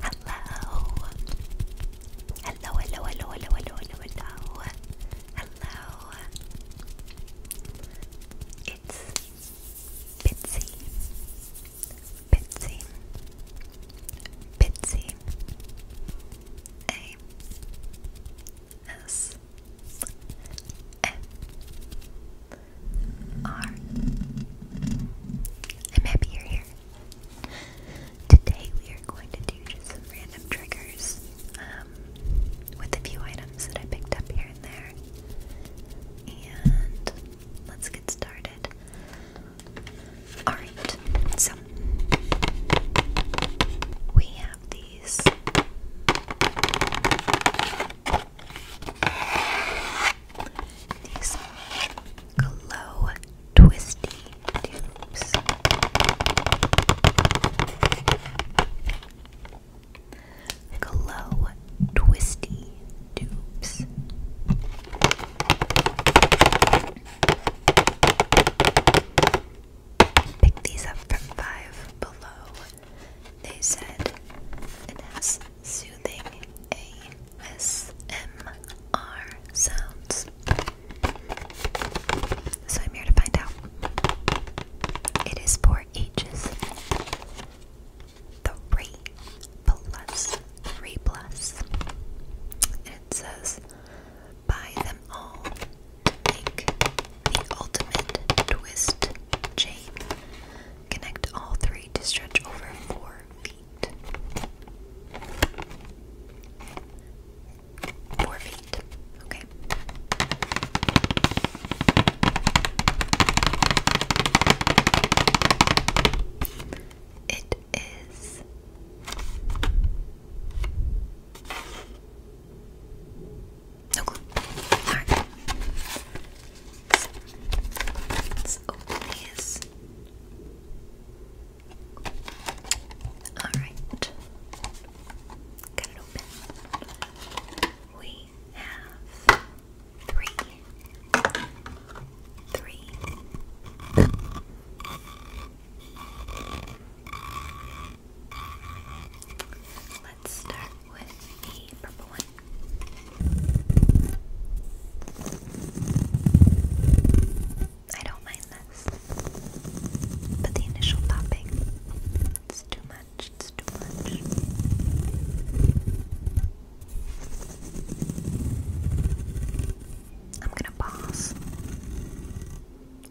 Hello. Hello, hello, hello, hello, hello, hello, hello. Hello. It's Bitsy. Bitsy. Bitsy. A. S. M. I'm happy you're here. Today we are going to do just some random triggers um, with a few items that I picked up here and there. And let's get started. Alright, so we have these these glow twisty tubes. Glow twisty tubes. Pick these up from Five Below. They said it has soothing A ASMR sounds. So I'm here to find out. It is for ages three plus three plus. it says buy them all make the ultimate twist chain. Connect all three to stretch over four feet. Four feet. Okay. It is no clue. Alright. Let's open these. Alright. Got it open. We have three. Three. Let's start with the purple one. I don't mind this, but the initial popping, it's too much, it's too much. I'm gonna pause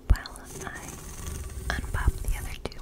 while I unpop the other two.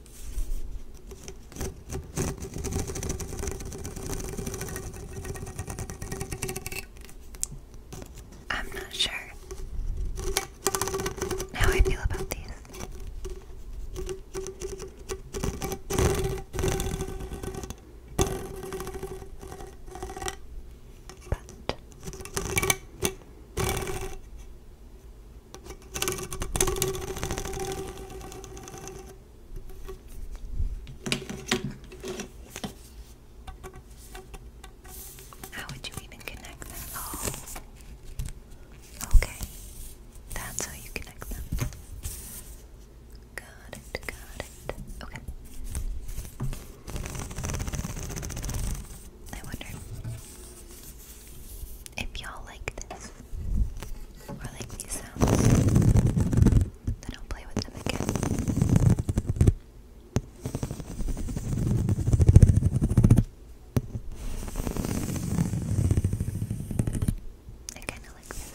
I'm not sure how I feel about these. But how would you even connect them? Oh. Okay. That's how you connect them. Got it, got it. Okay. I wonder if y'all like this or like these sounds, then I'll play with them again. I kind of like this.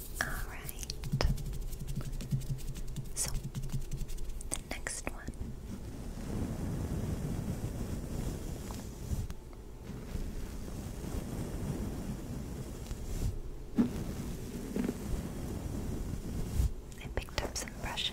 Alright. So, the next one. I picked up some brushes.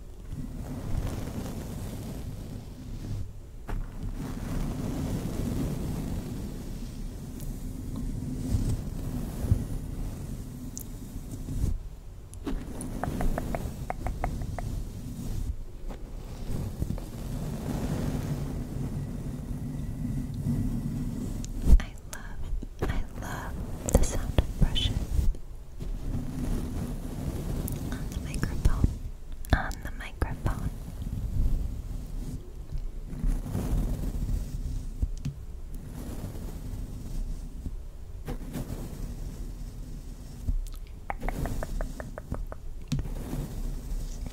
I love, I love the sound of brushes. On the microphone. On the microphone.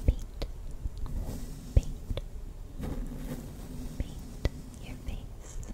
Paint. Paint. Paint your face.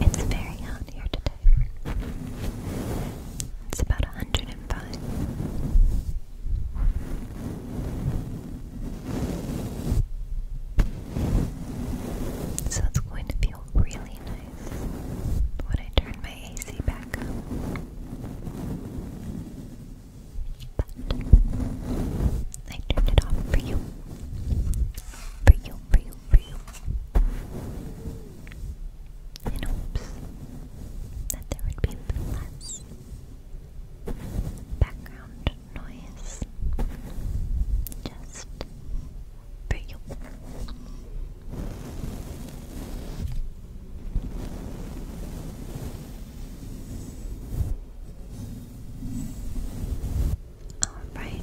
It's very hot here today. It's about 105. So it's going to feel really nice when I turn my AC back on, But I turned it off for you. For you, for you, for you in hopes that there would be less background noise just for you. All right.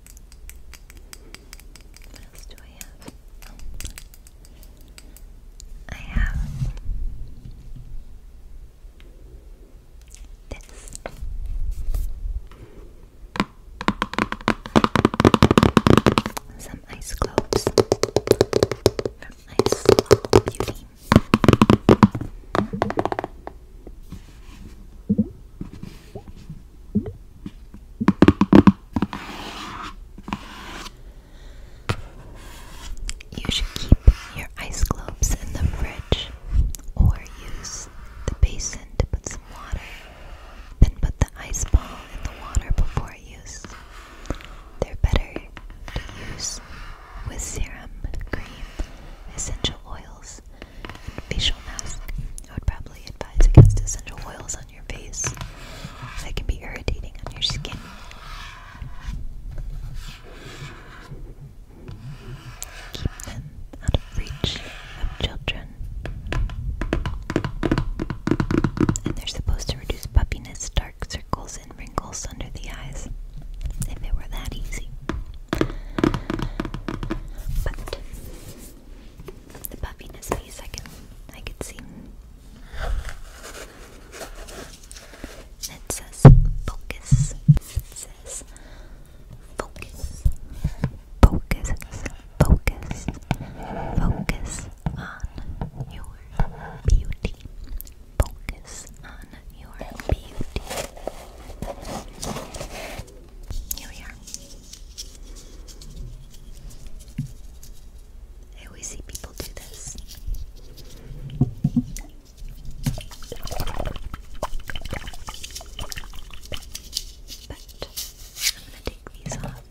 what else do I have? I have this. Some ice cubes from Ice Globe Beauty. You should keep your ice globes in the fridge or use the basin to put some water. Then put the ice ball in the water before use. They're better to use with serum, cream, essential oils, facial mask. I would probably advise against essential oils on your face. they can be irritating on your skin. Keep them out of reach of children. And they're supposed to reduce puppiness, dark circles, and wrinkles under the eyes. If it were that easy. But the puffiness I can I could see. It says focus. focus. Focus. Focus. Focus on your beauty. Focus on your beauty. Here we are. I always see people do this. But I'm gonna take these off.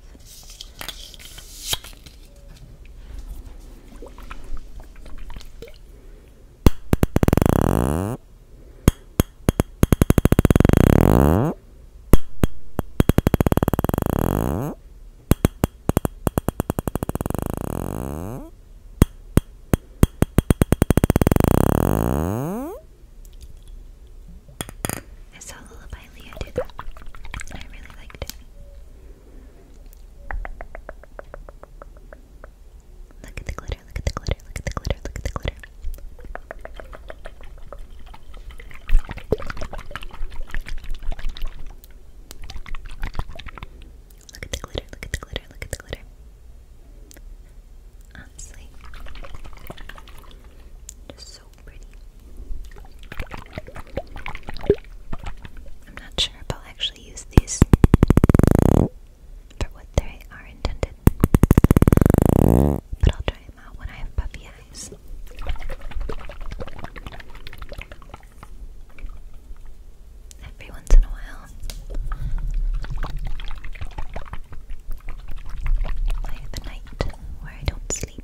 I saw Lullaby Leo do that. I really liked it. Look at the glitter, look at the glitter glitter, look at the glitter, look at the glitter. Look at the glitter, look at the glitter, look at the glitter. Honestly, just so pretty. I'm not sure if I'll actually use these for what they are intended, but I'll try uh, when I have puppy eyes. Every once in a while, I have a night where I Don't sleep.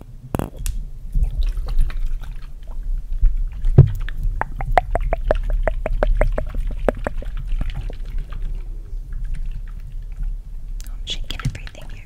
I'm shaking everything here.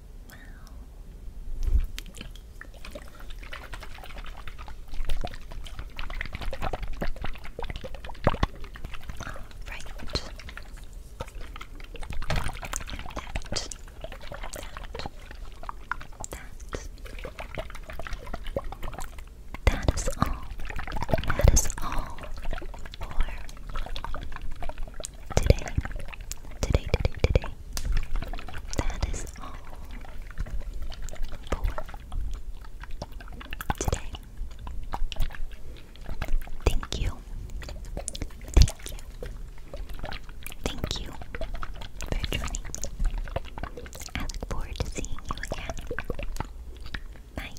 Wow. All right. That. That. That is all. That is all for today. Today, today, today, that is all for today. Thank you. Thank you. Thank you for joining I look forward to seeing you again. Bye.